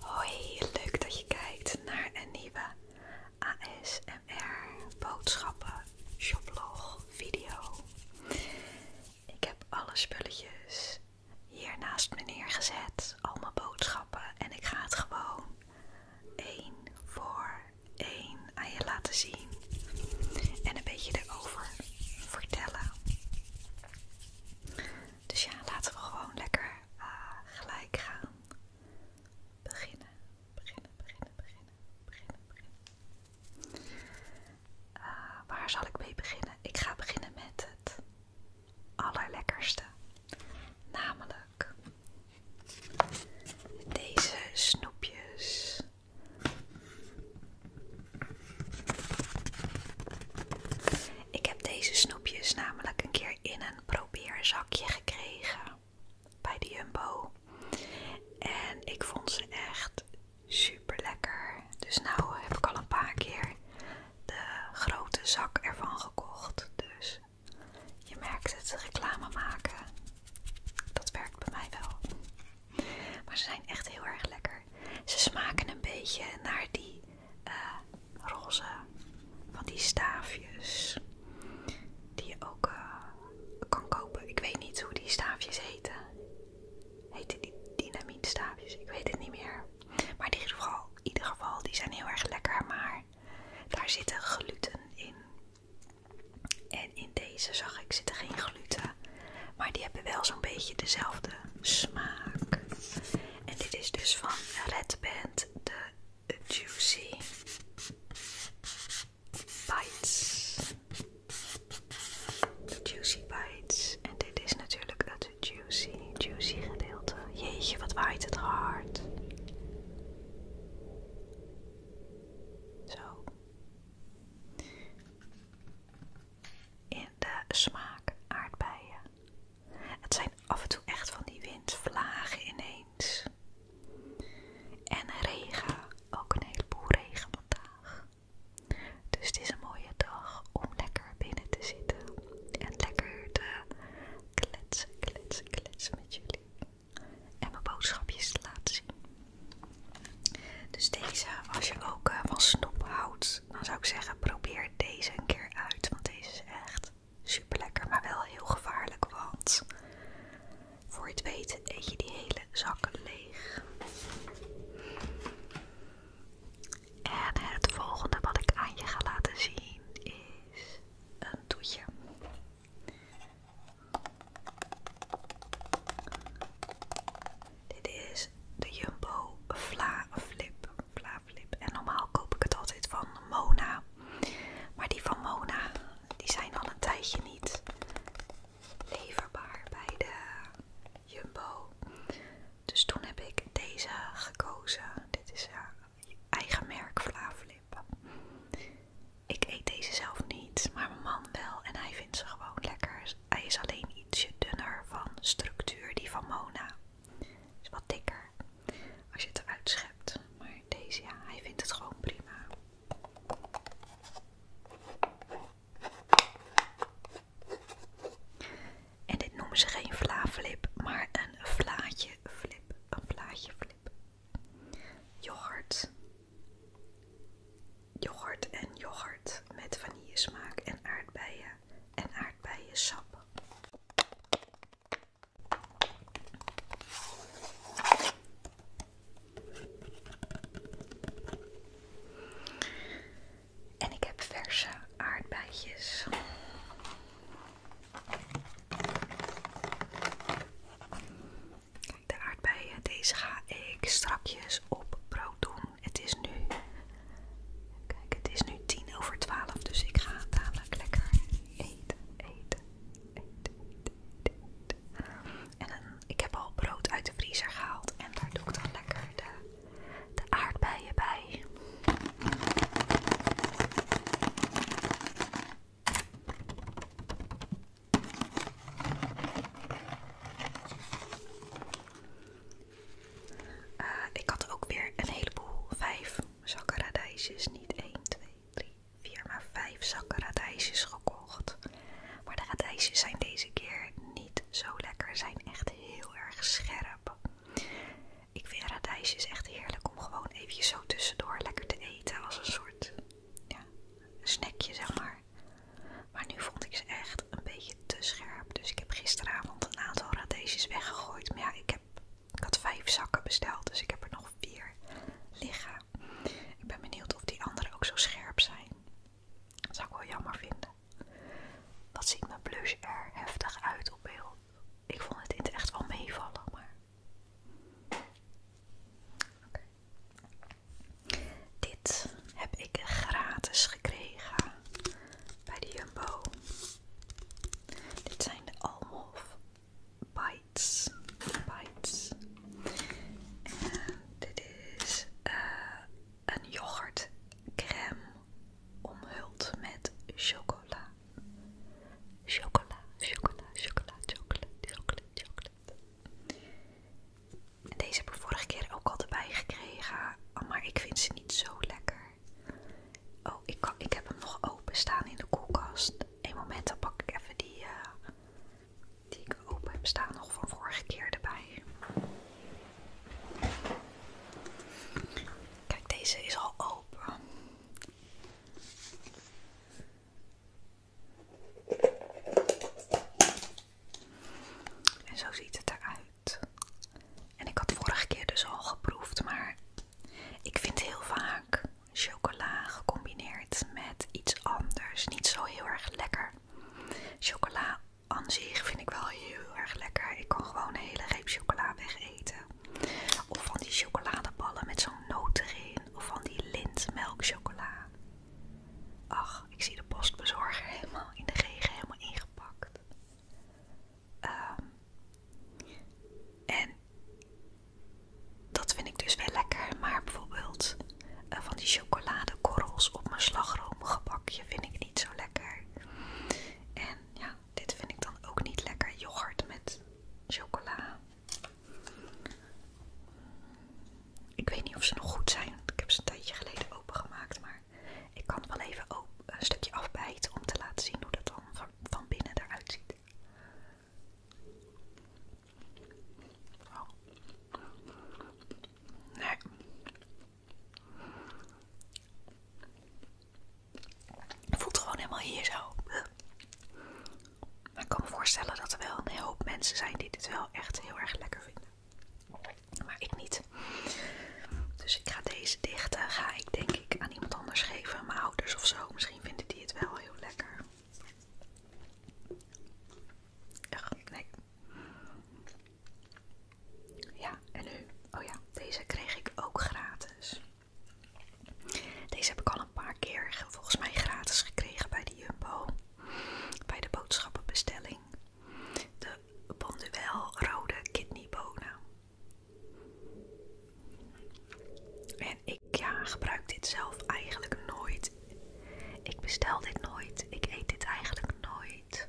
Hoi, leuk dat je kijkt naar een nieuwe ASMR boodschappen shoplog video. Ik heb alle spulletjes hier naast me neergezet, al mijn boodschappen en ik ga het gewoon één voor één aan je laten zien en een beetje erover vertellen. Dus ja, laten we gewoon lekker eh, gelijk gaan beginnen. Beginnen, beginnen, beginnen, beginnen, beginnen. Eh, waar zal ik mee beginnen? Ik ga beginnen met het allerlekkerste. Namelijk deze snoepjes. Ik heb deze snoepjes namelijk een keer in een probeerzakje gekregen bij de Jumbo. En ik vond ze echt super lekker. Dus nou heb ik al een paar keer de grote zak ervan gekocht. Dus je merkt het, reclame maken. Dat werkt bij mij wel. Maar ze zijn echt heel erg lekker. Ze smaken een beetje naar die eh, roze van die staafjes. Die je ook eh, kan kopen. Ik weet niet hoe die staafjes heten. Heten die dynamietstaafjes? Ik weet het niet meer. Maar in ieder, geval, in ieder geval, die zijn heel erg lekker. Maar daar zitten gluten in. En in deze zag ik zitten geen gluten. Maar die hebben wel zo'n beetje dezelfde smaak. En dit is dus van Red Band de Juicy Bites. Juicy Bites. En dit is natuurlijk het juicy, juicy gedeelte. Jeetje, wat waait het hard. Zo in de smaak aardbeien. Het zijn af en toe echt van die windvlagen ineens. En regen, ook een heleboel regen vandaag. Dus het is een mooie dag om lekker binnen te zitten en lekker te kletsen, kletsen, kletsen met jullie. En mijn boodschapjes te laten zien. Dus deze, als je ook eh, van snoep houdt, dan zou ik zeggen probeer deze een keer uit. Want deze is echt super lekker, maar wel heel gevaarlijk. Want voor je het weet eet je die hele zak leeg. En het volgende wat ik aan je ga laten zien is een toetje. Dit is de Jumbo Vla Flip. En normaal koop ik het altijd van Mona. Maar die van Mona, die zijn al een tijdje niet leverbaar bij de Jumbo. Dus toen heb ik deze gekozen. Dit is haar eigen merk Vla Flip. Ik eet deze zelf niet, maar mijn man wel en hij vindt ze gewoon lekker. Dus hij is alleen ietsje dunner van structuur, die van Mona. Is wat dikker als je het eruit schept. Maar deze, hij vindt het gewoon prima. En dit noemen ze geen vlaflip maar een vlaatje flip. Een vlaatje flip. Yoghurt Yoghurt en yoghurt met vanille smaak en aardbeien en aardbeiensap. En ik heb verse aardbeidjes de aardbeien, deze ga ik strakjes op brood doen. Het is nu, kijk, het is nu 10 over 12, dus ik ga dadelijk lekker eten, eten, eten, eten, En ik heb al brood uit de vriezer gehaald en daar doe ik dan lekker de, de aardbeien bij. Eh, ik had ook weer een heleboel, vijf zakken radijsjes, niet 1, 2, 3, 4, maar vijf zakken radijsjes gekocht. Maar de radijsjes zijn deze keer niet zo lekker, zijn echt heel erg scherp. Ik vind radijsjes echt heerlijk om gewoon even zo tussendoor lekker te eten als een soort ja, snackje zeg maar. Maar nu vond ik ze echt een beetje te scherp. Dus ik heb gisteravond een aantal radesjes weggegooid. Maar ja, ik, heb, ik had vijf zakken besteld, dus ik heb er nog vier liggen. Ik ben benieuwd of die anderen ook zo scherp zijn. Dat zou ik wel jammer vinden. Wat ziet mijn blush er heftig uit op beeld. Ik vond het echt wel meevallen, maar... Oké. Dit heb ik gratis gekregen bij de Jumbo. Dit zijn de Bites. Bites. dit is eh, een yoghurtcreme omhuld met chocola. Chocola, chocola, chocola, chocola, chocola, chocola deze heb ik vorige keer ook al erbij gekregen, maar ik vind ze niet zo lekker. Oh, ik, heb hem nog open staan in de koelkast. Eén moment, dan pak ik even die, eh, die ik open heb staan nog van vorige keer erbij. Kijk, deze is al open. En zo ziet het eruit. En ik had vorige keer dus al geproefd, maar ik vind heel vaak chocola gecombineerd met iets anders niet zo heel erg lekker. Chocola aan zich vind ik wel heel erg lekker. Ik kan gewoon een hele reep chocola wegeten. Of van die chocoladeballen met zo'n noot erin. Of van die lintmelkchocola. Ach, ik zie de postbezorger helemaal in de regen, helemaal ingepakt. Ehm, en dat vind ik dus wel lekker, maar bijvoorbeeld eh, van die chocoladekorrels op mijn slagroomgebakje vind ik niet zo lekker. En ja, dit vind ik dan ook niet lekker. Yoghurt met chocola ik weet niet of ze nog goed zijn. Ik heb ze een tijdje geleden opengemaakt. Maar ik kan wel even een stukje afbijten om te laten zien hoe dat dan van, binnen eruit ziet. Nee. Het voelt gewoon helemaal hier zo. Maar ik kan me voorstellen dat er wel een hoop mensen zijn die dit wel echt heel erg lekker vinden. Maar ik niet. Dus ik ga deze dichten, ga ik denk ik aan iemand anders geven, mijn ouders of zo. Misschien vinden die het wel heel lekker. Ach, nee. Ja, en nu? Oh ja, deze kreeg ik ook gratis. Deze heb ik al een paar keer volgens mij gratis gekregen bij de Jumbo. Bij de boodschappenbestelling. De Bonduel rode kidneybonen. En ik ja, gebruik dit zelf eigenlijk nooit. Ik bestel dit nooit. Ik eet dit eigenlijk nooit.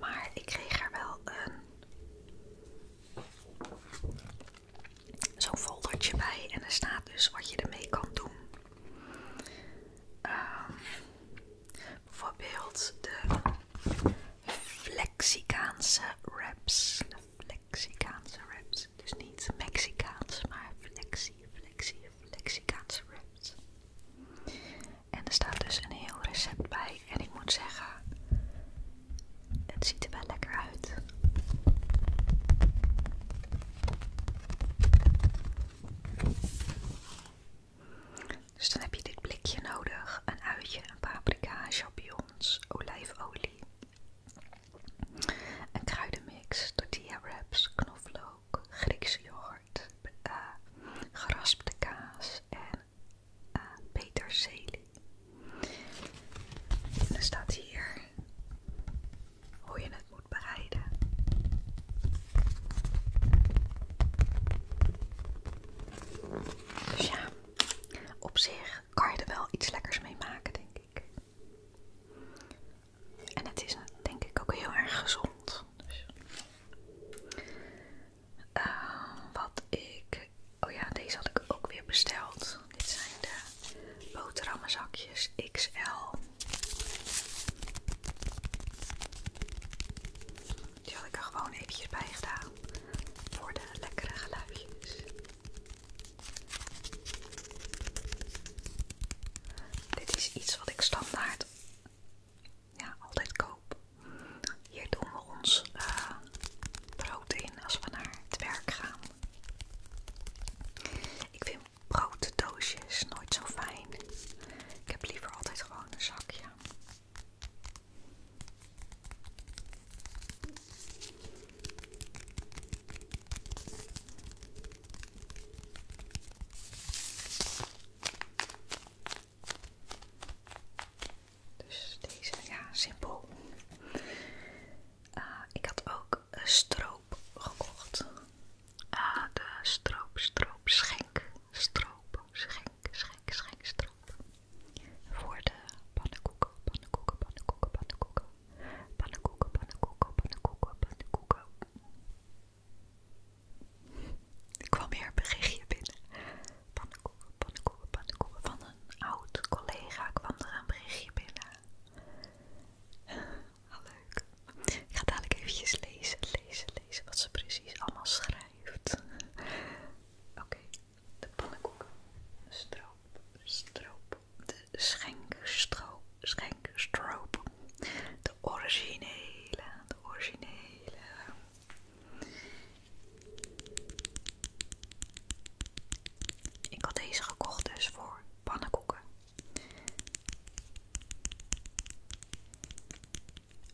Maar ik kreeg er wel een zo'n foldertje bij en er staat dus wat je ermee kan doen. Ehm, bijvoorbeeld de Flexicaanse wraps. De Flexicaanse wraps. Dus niet Mexicaans, maar Flexi, Flexi, Flexicaanse wraps. En er staat dus een heel recept bij. En ik moet zeggen, het ziet er wel lekker uit. Dus dan heb je dit blikje nodig: een uitje, een paprika, champignons, olijfolie, een kruidenmix, tortilla wraps, knoflook, Griekse yoghurt, eh, geraspte kaas en eh, peterselie. En er staat hier hoe je het moet bereiden. Dus ja, op zich kan je er wel iets lekkers mee maken, denk ik. En het is denk ik ook heel erg gezond. Dus, eh, wat ik Oh ja, deze had ik ook weer besteld. Dit zijn de boterhammenzakjes XL. Die had ik er gewoon even bij gedaan. Voor de lekkere geluidjes. Dit is iets wat ik standaard ja, altijd koop. Hier doen we ons eh, brood in als we naar het werk gaan. Ik vind brooddoosjes nooit zo fijn. Ik heb liever altijd gewoon een zakje. Dus deze, ja, simpel. Ah, ik had ook een stroop gekocht. Ah, de stroop, stroop, schenk. Stroop, schenk, schenk, schenk, stroop. Voor de pannenkoeken, pannenkoeken, pannenkoeken, pannenkoeken. Pannenkoeken, pannenkoeken, pannenkoeken, pannenkoeken. Ik kwam weer een berichtje binnen. Pannenkoeken, pannenkoeken, pannenkoeken. Van eh, oud collega kwam er een berichtje binnen. Ah, leuk. Ik ga dadelijk eventjes lezen, lezen, lezen wat ze precies allemaal schrijft. Oké, de pannenkoek, stroop, stroop, de schenkstroop, schenkstroop, de originele, de originele. Ik had deze gekocht dus voor pannenkoeken.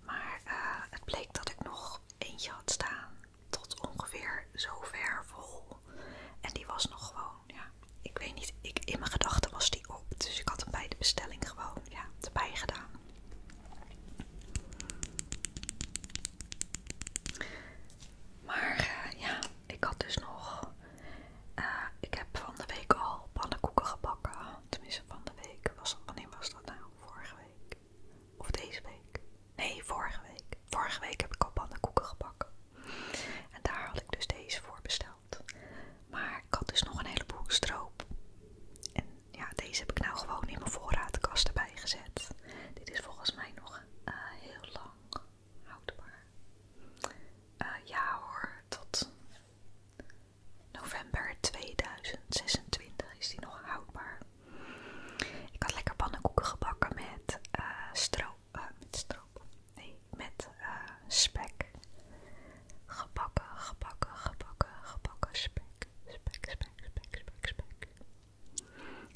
Maar eh, het bleek dat ik nog eentje had staan tot ongeveer zover vol. En die was nog gewoon, ja, ik weet niet, ik, in mijn gedachten was die op. Dus ik had hem bij de bestelling gewoon, ja, erbij gedaan. Maar eh, ja, ik had dus nog. Eh, ik heb van de week al pannenkoeken gebakken. Tenminste, van de week. wanneer was dat nou? Vorige week? Of deze week? Nee, vorige week. Vorige week heb ik al pannenkoeken gebakken. En daar had ik dus deze voor besteld. Maar ik had dus nog een heleboel stroop. En ja, deze heb ik nou gewoon in mijn voorraadkast erbij gezet. Dit is volgens mij nog eh, heel lang houdbaar. Eh, ja hoor, tot november 2026 is die nog houdbaar. Ik had lekker pannenkoeken gebakken met eh, stroop. met stroop. Nee, met spek. Gebakken, gebakken, gebakken, gebakken Spek, spek, spek, spek, spek.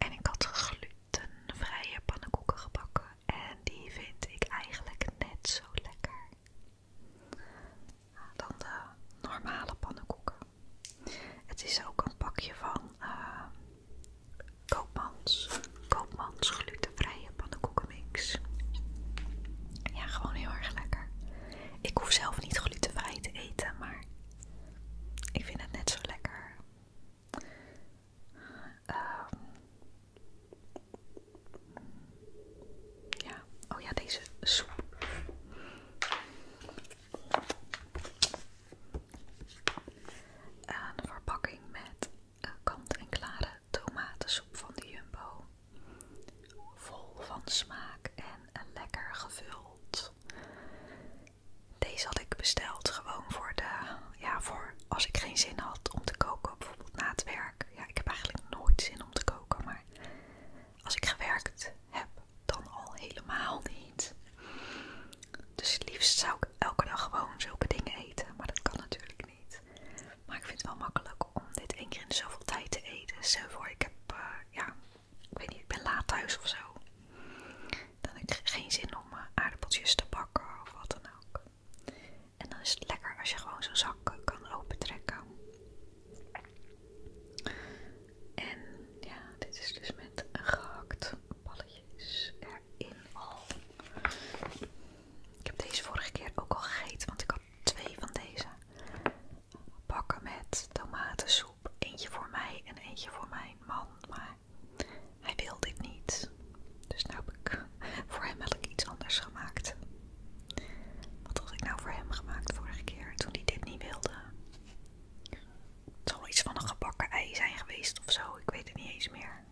En ik had glutenvrije pannenkoeken gebakken en die vind ik eigenlijk net zo lekker dan de normale pannenkoeken. Het is ook een pakje van eh, Koopmans, Koopmans glutenvrije pannenkoekenmix. Ja, gewoon heel erg lekker. Ik hoef zelf niet glutenvrij te eten, maar ik vind het net zo lekker. Ehm, ja, oh ja, deze soep. Een verpakking met eh, kant-en-klare tomatensoep van de Jumbo. Vol van smaak en lekker gevuld. Deze had ik besteld gewoon voor de, ja, voor als ik geen zin had om te koken, bijvoorbeeld na het werk. Ja, ik heb eigenlijk nooit zin om te koken, maar als ik gewerkt heb, dan al helemaal niet. Dus liefst zou ik elke dag gewoon zulke dingen eten, maar dat kan natuurlijk niet. Maar ik vind het wel makkelijk om dit één keer in zoveel tijd te eten. Stel voor, ik heb eh, ja, ik weet niet, ik ben laat thuis of zo. Dan heb ik geen zin om eh, aardappeltjes te bakken of wat dan ook. En dan is het lekker als je gewoon zo'n zak kan trekken En ja, dit is dus met gehakt balletjes erin al. Ik heb deze vorige keer ook al gegeten, want ik had twee van deze bakken met tomatensoep. Eentje voor mij en eentje voor mijn man. Maar hij wil dit niet. Dus nou heb ik voor hem eigenlijk iets anders gemaakt. Wat had ik nou voor hem gemaakt vorige keer toen hij dit niet wilde? Het zal iets van een gebakken ei zijn geweest of zo. Ik weet het niet eens meer.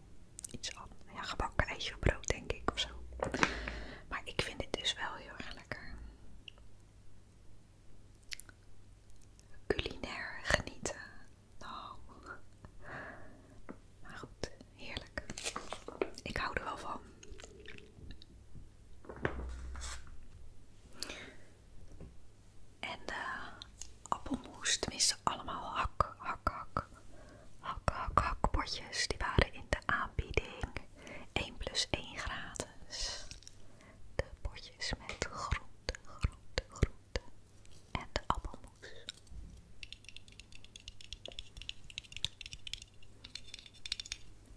Iets aan, Ja, gebakken eitje brood denk ik of zo. Maar ik vind dit dus wel heel erg lekker culinair genieten. Nou, maar goed, heerlijk. Ik hou er wel van. En de eh, appelmoes, tenminste allemaal hak, hak, hak. Hak, hak, hak potjes, die waren in de aanbieding 1 plus 1 gratis de potjes met groente, groente, groente en de appelmoes.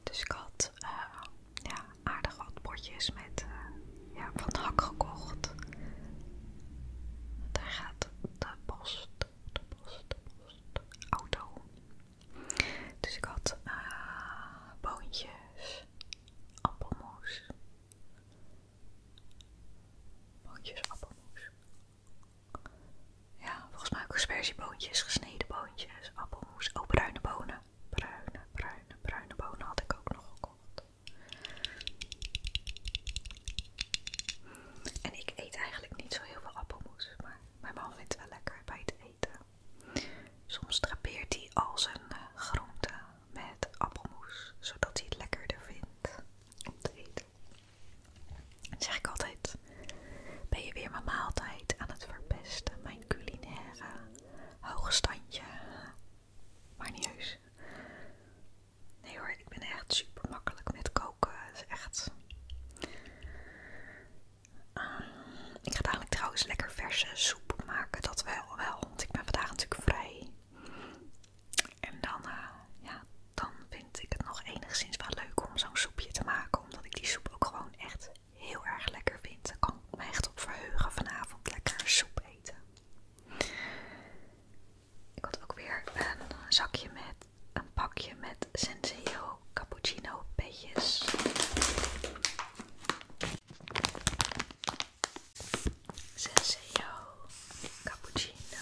Dus ik had eh, ja, aardig wat potjes met eh, ja, van hak gekocht. Daar gaat de post, de post, de post, auto dus ik had eh, boontjes, appelmoes. Boontjes, appelmoes. Ja, volgens mij ook boontjes, gesneden boontjes, appelmoes. Oh, bruine bonen. Bruine, bruine, bruine bonen had ik ook nog gekocht. En ik eet eigenlijk niet zo heel veel appelmoes, maar mijn man vindt het wel lekker bij het eten. Soms drapeert hij al zijn eh, groenten met appelmoes, zodat hij het lekkerder vindt om te eten. Dan zeg ik altijd, ben je weer mijn maaltijd aan het verpesten, mijn culinaire hoogstandje, Maar niet heus. Nee hoor, ik ben echt super makkelijk met koken. Het is echt... Ik ga dadelijk trouwens lekker verse soep maken, dat wel, Want ik ben vandaag natuurlijk vrij. En dan, eh, ja, dan vind ik het nog enigszins wel leuk om zo'n soepje te maken. Omdat ik die soep ook gewoon echt heel erg lekker vind. Daar kan ik me echt op verheugen vanavond lekker soep eten. Ik had ook weer een zakje met een pakje met Senseo cappuccino petjes. Senseo cappuccino.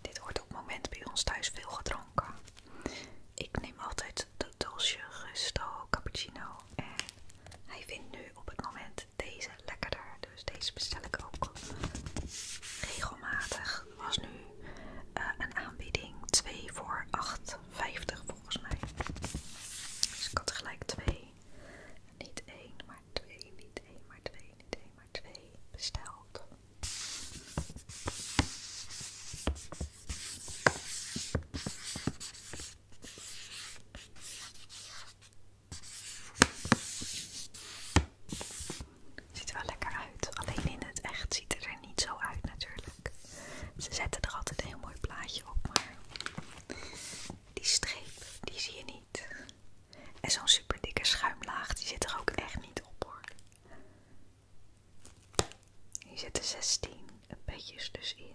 Dit wordt op moment bij ons thuis veel gedronken. Ik neem altijd de doosje Gusto cappuccino en hij vindt nu op het moment deze lekkerder. Dus deze bestel ik ook regelmatig. was nu eh, een aanbieding 2 voor 8,50 volgens mij. Dus ik had gelijk twee, Niet één maar twee, Niet één maar twee, Niet één maar twee besteld. Ziet er wel lekker uit, alleen in het echt ziet het er niet zo uit natuurlijk. Ze zetten er altijd een heel mooi plaatje op, maar die streep, die zie je niet. En zo'n super dikke schuimlaag, die zit er ook echt niet op hoor. Hier zitten 16 petjes dus in.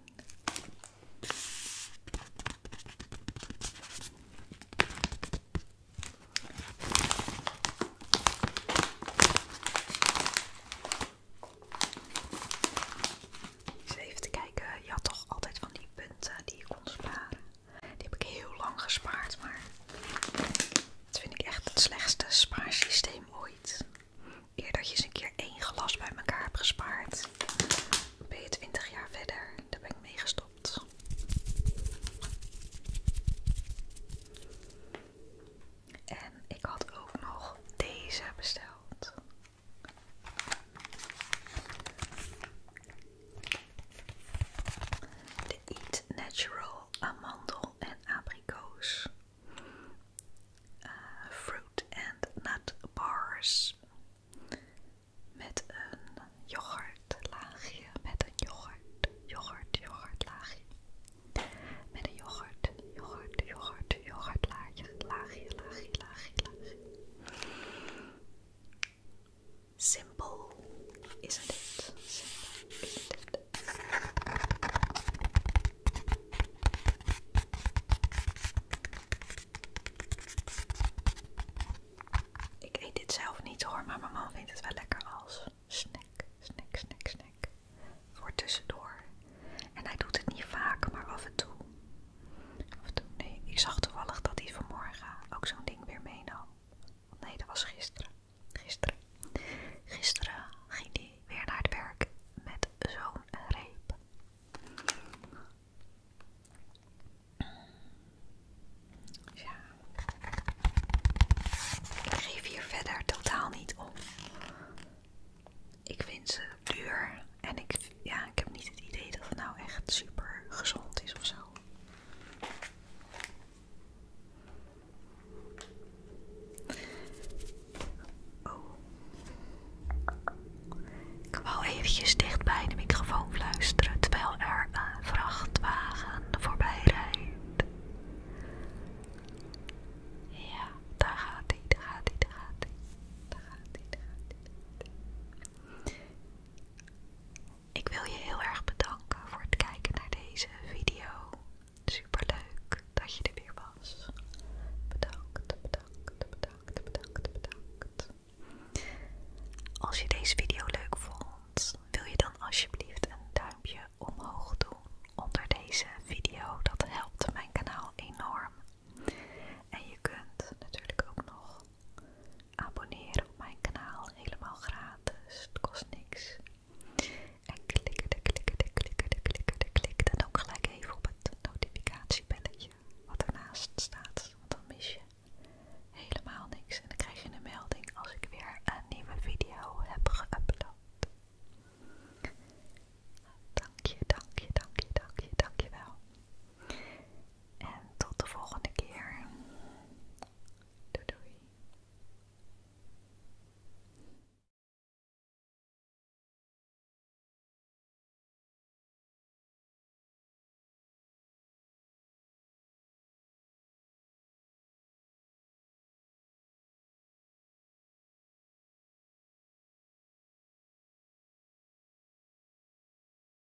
even te kijken, je had toch altijd van die punten die je kon sparen. Die heb ik heel lang gespaard, maar dat vind ik echt het slechtste spaarsysteem ooit. Eer dat je eens een keer één glas bij elkaar hebt gespaard, ben je 20 jaar verder. Daar ben ik mee gestopt. En ik had ook nog deze besteld. De Eat Natural amandel en abrikoos. Eh, fruit and nut bars. Met een laagje Met een yoghurt. Yoghurt, laagje Met een yoghurt. Yoghurt, yoghurt, Laagje, laagje, laagje, laagje simpel, is het. Ik eet dit zelf niet hoor, maar mijn man vindt het wel lekker als snack, snack, snack, snack. Voor tussendoor. En hij doet het niet vaak, maar af en toe. Af en toe, nee. Ik zag toevallig dat hij vanmorgen ook zo'n ding weer meenam. Nee, dat was gisteren. Gisteren. Gisteren ging hij weer naar het werk met zo'n reep. Ja. Ik geef hier verder totaal niet op. Ik vind ze duur en ik, ja, ik heb niet het idee dat het nou echt super gezond is of zo. Oh. Ik wou eventjes dicht bij de microfoon fluisteren terwijl er een vrachtwagen voorbij rijdt. Ja, daar gaat hij, daar gaat hij, daar gaat hij. Daar gaat hij, daar gaat hij. Ik wil je heel erg bedanken voor het kijken naar deze video. Super leuk dat je er weer was. Bedankt, bedankt, bedankt, bedankt, bedankt. Als je deze video leuk vond, wil je dan alsjeblieft een duimpje omhoog doen onder deze video. Dat helpt mijn kanaal enorm. En je kunt natuurlijk ook nog abonneren op mijn kanaal helemaal gratis. Het kost niks. En klikken, klikken, klikken, klikken, klikken. En ook gelijk even op het notificatiebelletje wat ernaast staat. Want dan mis je helemaal niks. En dan krijg je een melding als ik weer een nieuwe video heb geüpload. Dank je, dank je, dank je, dank je, dank je wel. En tot de volgende keer. Doei